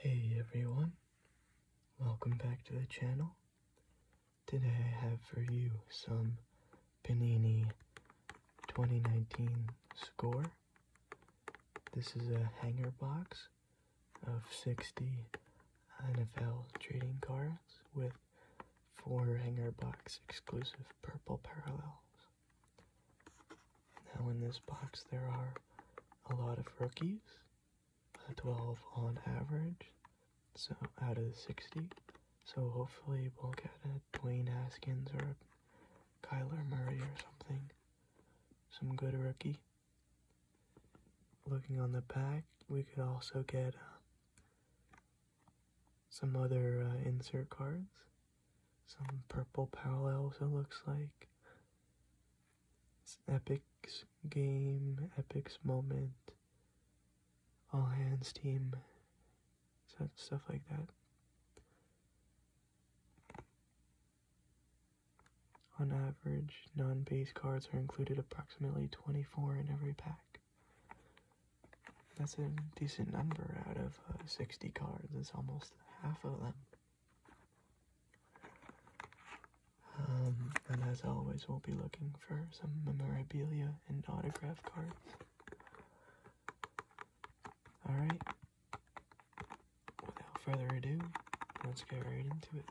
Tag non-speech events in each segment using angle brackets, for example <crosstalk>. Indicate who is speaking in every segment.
Speaker 1: Hey everyone, welcome back to the channel. Today I have for you some Panini 2019 score. This is a hanger box of 60 NFL trading cards with four hanger box exclusive purple parallels. Now, in this box, there are a lot of rookies, 12 on average, so out of the 60. So, hopefully, we'll get a Dwayne Haskins or a Kyler Murray or something. Some good rookie. Looking on the back, we could also get uh, some other uh, insert cards. Some purple parallels, it looks like. It's Epic's game, Epic's moment, all hands team, stuff like that. On average, non base cards are included approximately 24 in every pack. That's a decent number out of uh, 60 cards, it's almost half of them. Um, and as always, we'll be looking for some memorabilia and autograph cards. Alright, without further ado, let's get right into it.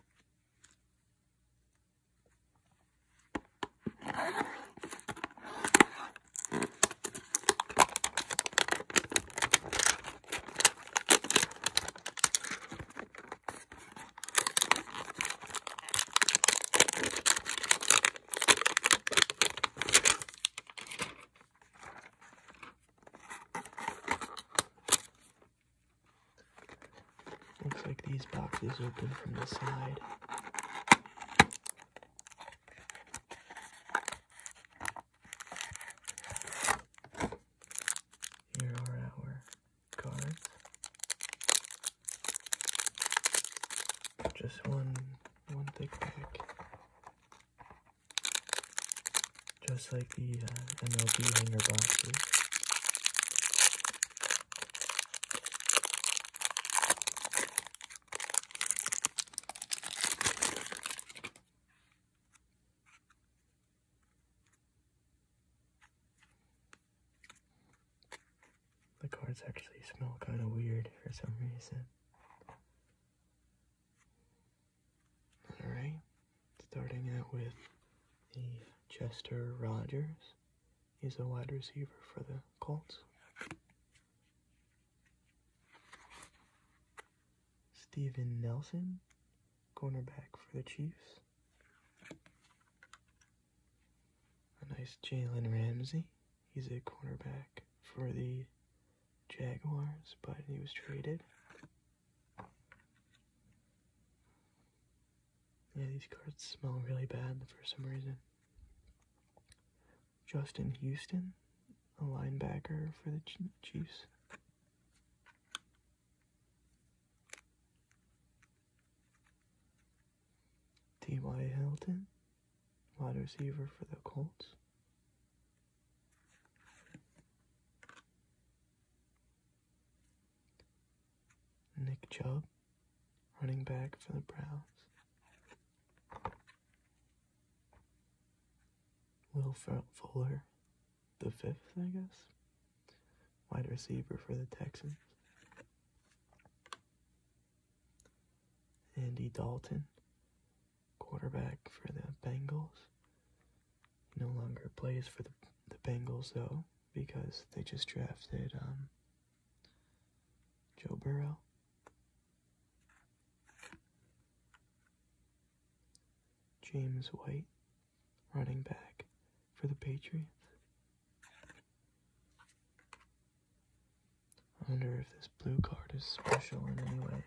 Speaker 1: Looks like these boxes open from the side. Here are our cards. Just one one thick pack. Just like the uh, MLB hanger boxes. The cards actually smell kind of weird for some reason. Alright, starting out with the Chester Rogers. He's a wide receiver for the Colts. Stephen Nelson, cornerback for the Chiefs. A nice Jalen Ramsey. He's a cornerback for the Jaguars, but he was traded. Yeah, these cards smell really bad for some reason. Justin Houston, a linebacker for the Chiefs. T.Y. Hilton, wide receiver for the Colts. Nick Chubb, running back for the Browns. Will Fuller, the fifth, I guess, wide receiver for the Texans. Andy Dalton, quarterback for the Bengals. No longer plays for the, Bengals, though, because they just drafted um, Joe Burrow. James White, running back for the Patriots. I wonder if this blue card is special in any way.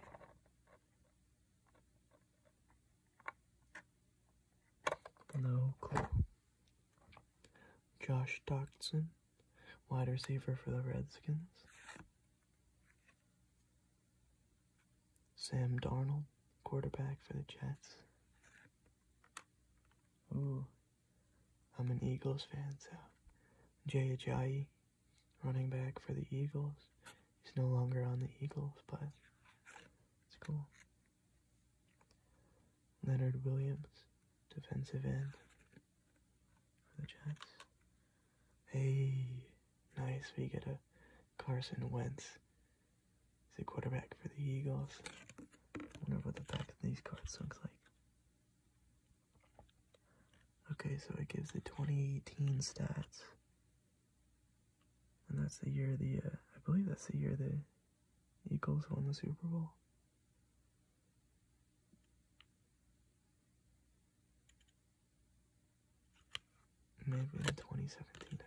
Speaker 1: No clue. Josh Doxson, wide receiver for the Redskins. Sam Darnold, quarterback for the Jets. Ooh, I'm an Eagles fan, so Jay Ajayi, running back for the Eagles. He's no longer on the Eagles, but it's cool. Leonard Williams, defensive end the Jets. Hey, nice. We get a Carson Wentz. is a quarterback for the Eagles. Wonder what the back of these cards looks like. Okay, so it gives the 2018 stats. And that's the year the, uh, I believe that's the year the Eagles won the Super Bowl. Maybe in 2017.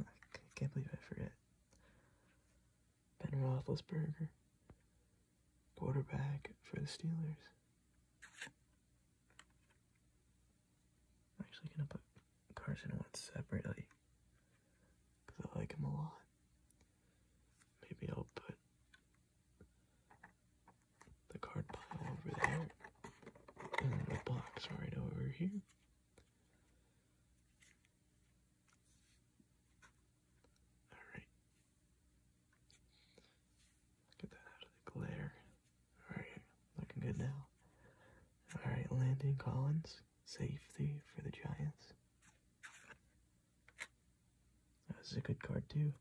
Speaker 1: I can't believe I forget. Ben Roethlisberger, quarterback for the Steelers. I'm actually gonna put Carson one separately because I like him a lot. Maybe I'll put the card pile over there, and the box right over here. Alright. Get that out of the glare. Alright, looking good now. Alright, Landon Collins, safety for the Giants. That was a good card, too.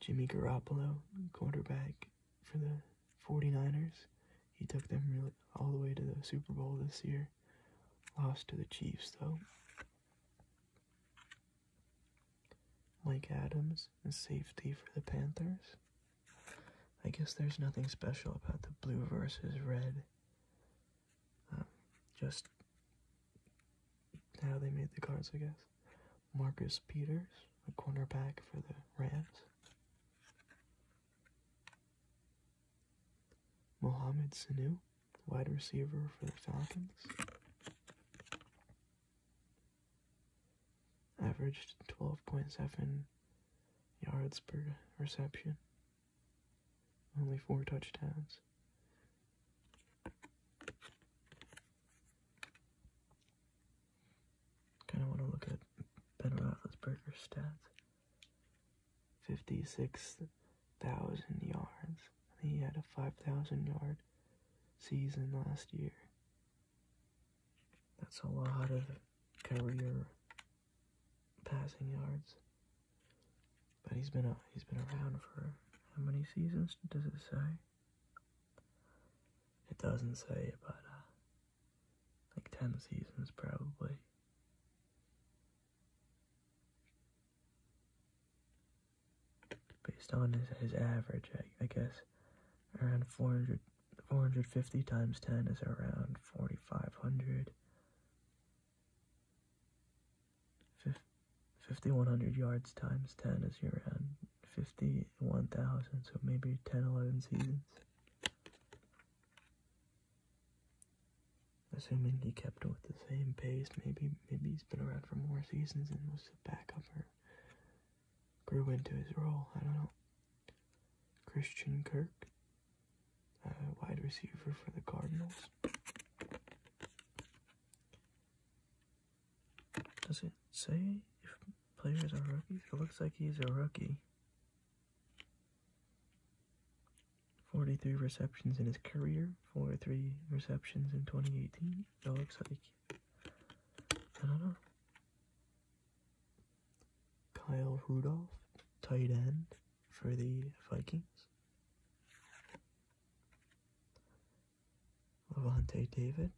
Speaker 1: Jimmy Garoppolo, quarterback for the 49ers. He took them really all the way to the Super Bowl this year. Lost to the Chiefs, though. Mike Adams safety for the Panthers. I guess there's nothing special about the blue versus red. Um, just how they made the cards, I guess. Marcus Peters, a cornerback for the Rams. Mohamed Sanu, wide receiver for the Falcons. Averaged 12.7 yards per reception. Only four touchdowns. Kind of want to look at Ben Roethlisberger's stats. 56,000 yards. he had a 5,000 yard season last year. That's a lot of career passing yards. But he's been a, he's been around for how many seasons does it say? It doesn't say, but uh, like 10 seasons probably. Based on his, his average, I, guess around 400, 450 times 10 is around 4,500. 5100 yards times 10 is your 51,000 so maybe 10 11 seasons assuming he kept it with the same pace maybe maybe he's been around for more seasons and was a backup or grew into his role I don't know Christian Kirk uh, wide receiver for the Cardinals does it say if players are rookies? It looks like he's a rookie. 43 receptions in his career, 43 receptions in 2018. That looks like, I don't know. Kyle Rudolph, tight end for the Vikings. Levante David,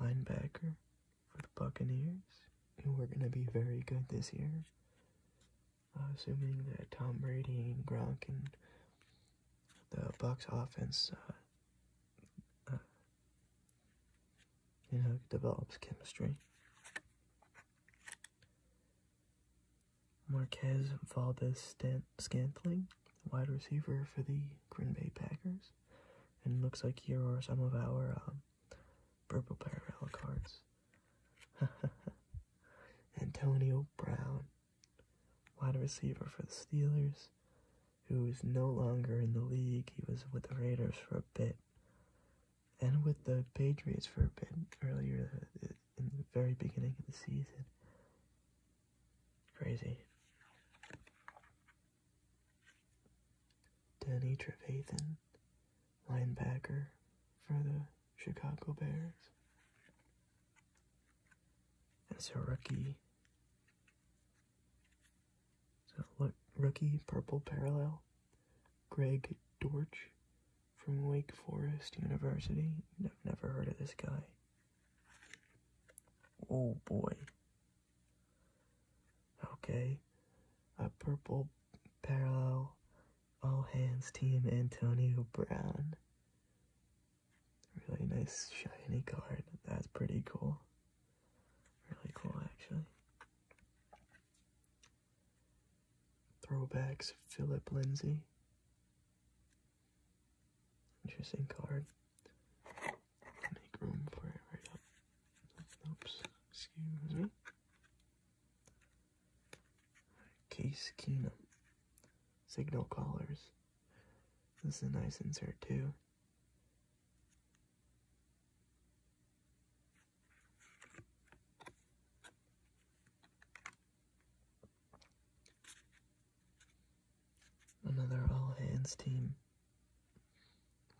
Speaker 1: linebacker for the Buccaneers, who we're going to be very good this year. assuming that Tom Brady and Gronk and the Bucks offense, uh, uh, you know, develops chemistry. Marquez Valdez Scantling, wide receiver for the Green Bay Packers. And looks like here are some of our um, purple parallel cards. <laughs> Antonio Brown, wide receiver for the Steelers, who is no longer in the league. He was with the Raiders for a bit and with the Patriots for a bit earlier uh, in the very beginning of the season. Crazy. Danny Trevathan, linebacker for the Chicago Bears. And a rookie, so look, rookie purple parallel, Greg Dortch from Wake Forest University. I've never heard of this guy. Oh boy. Okay. A purple parallel all hands team Antonio Brown. Really nice shiny card. That's pretty cool. Really cool actually. Throwbacks Philip Lindsay. Interesting card. Make room for it right up. Oops. Excuse me. Case Keenum. Signal Callers. This is a nice insert too. Another all hands team.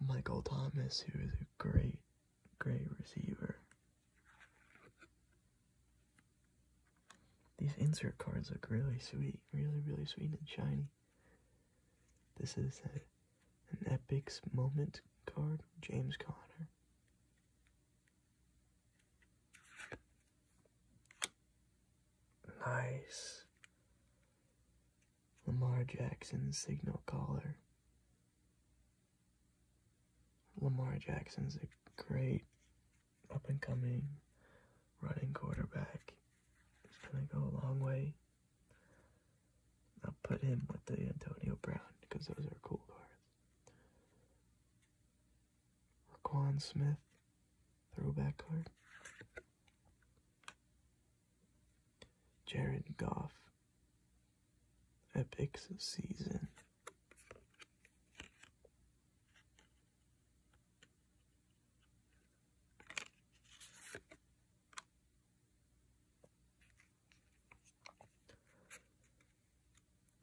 Speaker 1: Michael Thomas, who is a great, great receiver. These insert cards look really sweet, really, really sweet and shiny. This is an Epics Moment card, James Conner. Nice. Lamar Jackson signal caller. Lamar Jackson's a great up and coming running quarterback. He's going to go a long way. I'll put him with the Antonio Brown because those are cool cards. Raquan Smith, throwback card. Jared Goff, Epics Season.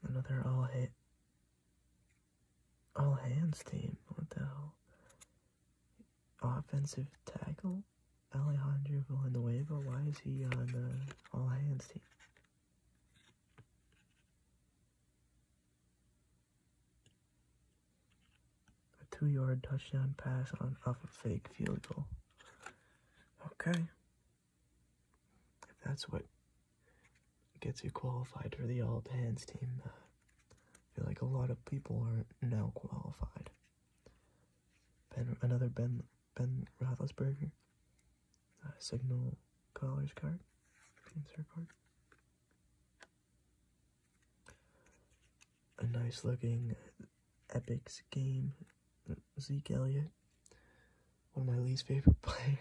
Speaker 1: Another all hit. All hands team. What the hell? Offensive tackle? Alejandro Villanueva? Why is he on the all hands team? A two yard touchdown pass on off a fake field goal. Okay if that's what gets you qualified for the all hands team, I feel like a lot of people are not now qualified. another Ben Ben Roethlisberger signal caller's card, card. A nice looking Epics game, Zeke Elliott, one of my least favorite <laughs> players.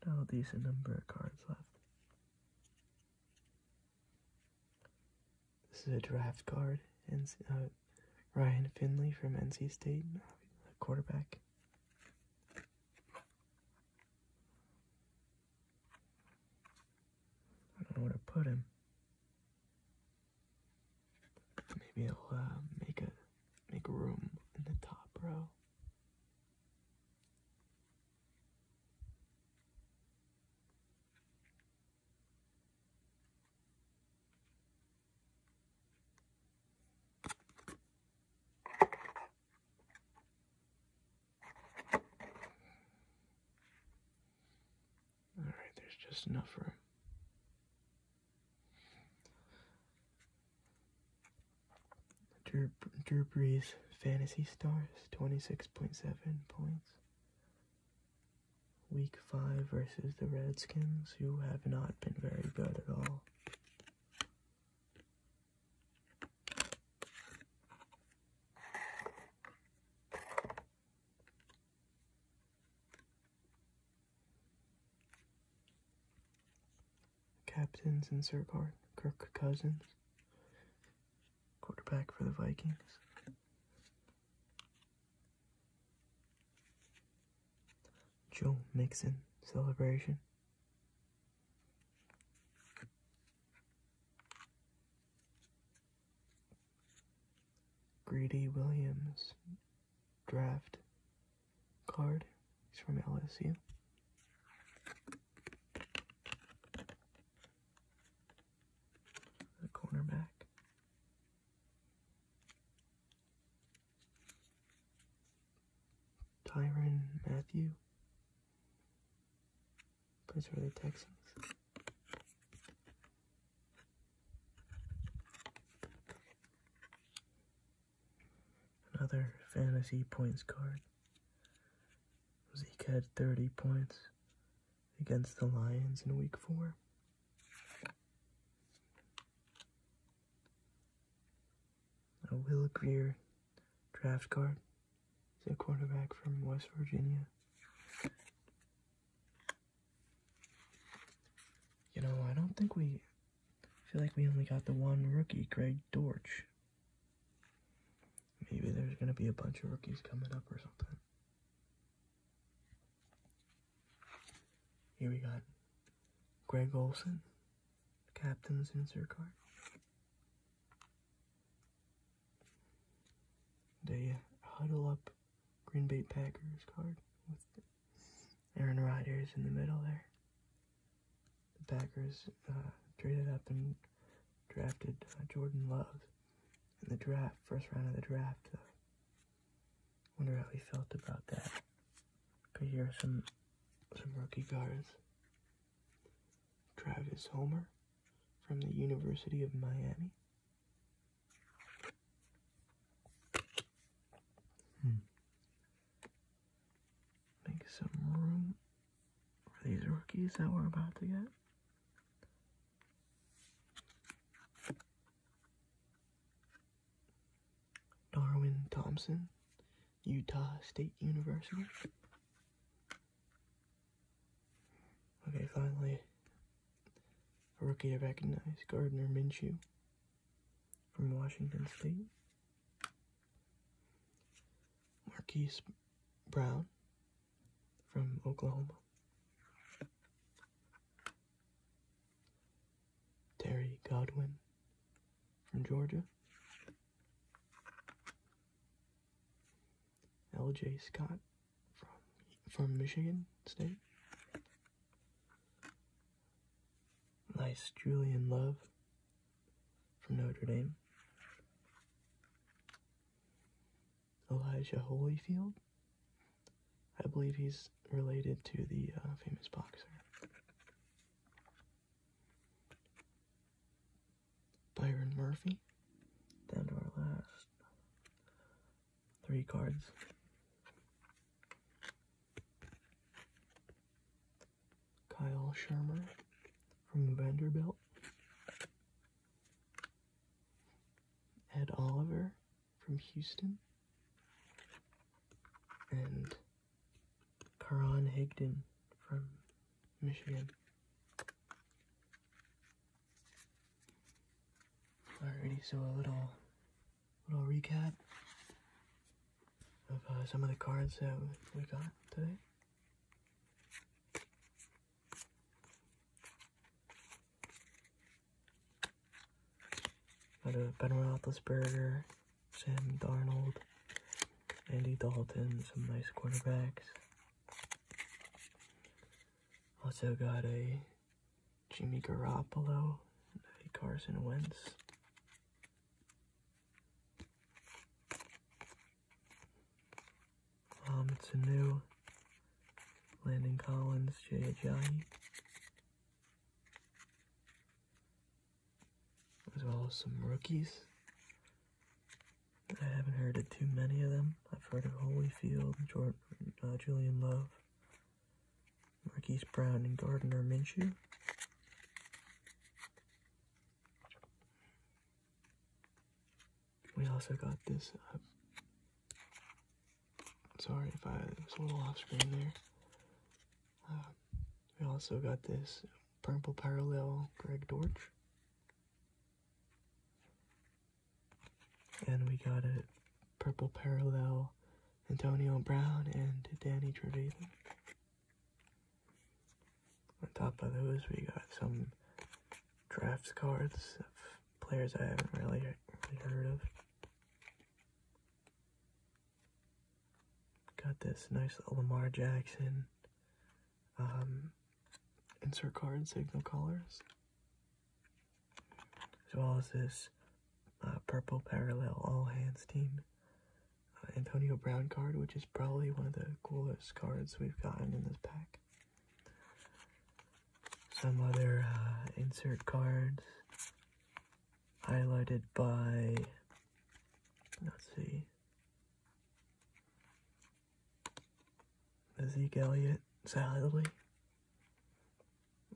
Speaker 1: Still a decent number of cards left. This is a draft card. And, uh, Ryan Finley from NC State, a quarterback. I don't know where to put him. Maybe I'll uh, make a make room in the top row. All right, there's just enough room. Drew, Drew Brees Fantasy Stars, 26.7 points. Week 5 versus the Redskins, who have not been very good at all. Captains in Zergard, Kirk Cousins, quarterback for the Vikings. Joe Mixon celebration. Greedy Williams draft card. He's from LSU. The cornerback. Tyron Matthew plays for the Texans. Another fantasy points card. Zeke had 30 points against the Lions in week four. A Will Greer draft card. He's a quarterback from West Virginia. You know, I don't think we feel like we only got the one rookie, Greg Dortch. Maybe there's gonna be a bunch of rookies coming up or something. Here we got Greg Olson, Captain's insert card. They huddle up Green Bay Packers card with Aaron Rodgers in the middle there. The Packers uh, traded up and drafted uh, Jordan Love in the draft, first round of the draft. Uh, wonder how he felt about that. Okay, here are some some rookie cards. Travis Homer from the University of Miami. Hmm. Make some room for these rookies that we're about to get. Darwin Thompson Utah State University. Okay, finally, a rookie I recognize, Gardner Minshew from Washington State. Marquise Brown from Oklahoma. Terry Godwin from Georgia, L.J. Scott from from Michigan State, nice Julian Love from Notre Dame, Elijah Holyfield. I believe he's related to the uh, famous boxer. Byron Murphy. Down to our last three cards. Kyle Shermer from Vanderbilt. Ed Oliver from Houston. And Karan Higdon from Michigan. Alrighty, so a little little recap of uh, some of the cards that we got today. Got a Ben Roethlisberger, Sam Darnold, Andy Dalton, some nice quarterbacks. Also got a Jimmy Garoppolo, a Carson Wentz. Um, it's a new Landon Collins, J.J as well as some rookies. I haven't heard of too many of them. I've heard of Holyfield, uh, Julian Love, Marquise Brown, and Gardner Minshew. We also got this. Uh, sorry if I was a little off screen there. Um, we also got this Purple Parallel Greg Dortch. And we got a Purple Parallel Antonio Brown and Danny Trevathan. On top of those, we got some draft cards of players I haven't really heard of. Got this nice little Lamar Jackson um, insert card signal colors, as well as this uh, purple parallel all hands team uh, Antonio Brown card, which is probably one of the coolest cards we've gotten in this pack. Some other uh, insert cards highlighted by, let's see, Zeke Elliott, Sally,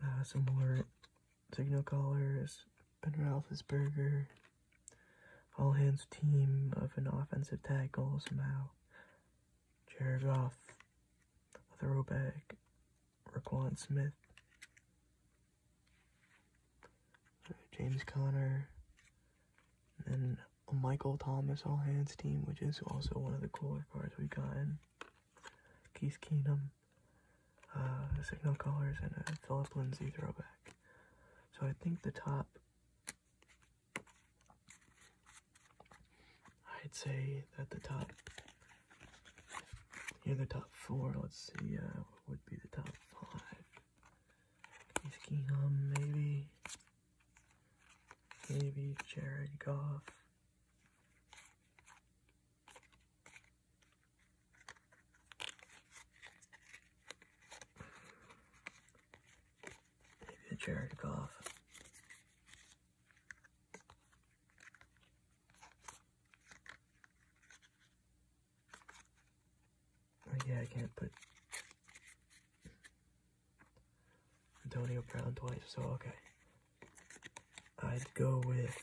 Speaker 1: uh, some more signal callers, Ben Roethlisberger, all hands team of an offensive tackle somehow, Jared Goff, a throwback, Raquan Smith, James Conner, and Michael Thomas All Hands team, which is also one of the cooler cards we've gotten. Keith Keenum, uh, Signal Colors, and Philip Lindsay throwback. So I think the top, I'd say that the top here are the top four. Let's see uh, what would be the top five. Case maybe. Maybe Jared Goff. Maybe Jared Goff. Oh yeah, I can't put Antonio Brown twice, so okay. I'd go with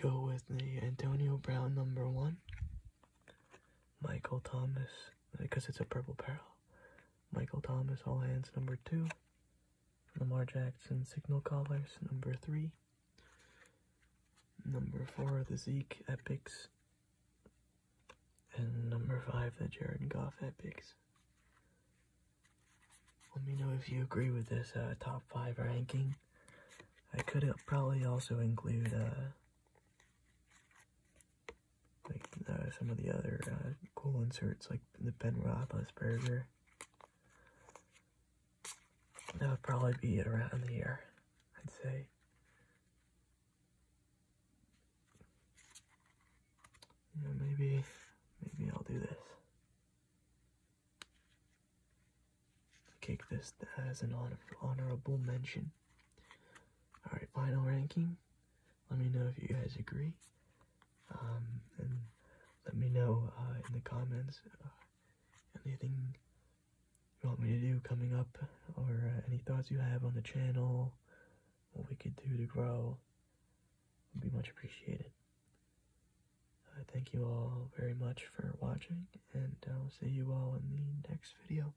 Speaker 1: go with the Antonio Brown number one, Michael Thomas because it's a purple pearl. Michael Thomas, all hands, number two. Lamar Jackson, signal callers, number three. Number four, the Zeke Epics. And number five, the Jared Goff Epics. Let me know if you agree with this uh, top five ranking. I could uh, probably also include uh, like uh, some of the other uh, cool inserts, like the Ben Roethlisberger. That would probably be around here, I'd say. maybe, maybe I'll do this. Kick this as an honor honorable mention. All right, final ranking. Let me know if you guys agree. Um, and let me know uh, in the comments uh, anything you want me to do coming up or uh, any thoughts you have on the channel, what we could do to grow would be much appreciated. thank you all very much for watching, and I'll see you all in the next video.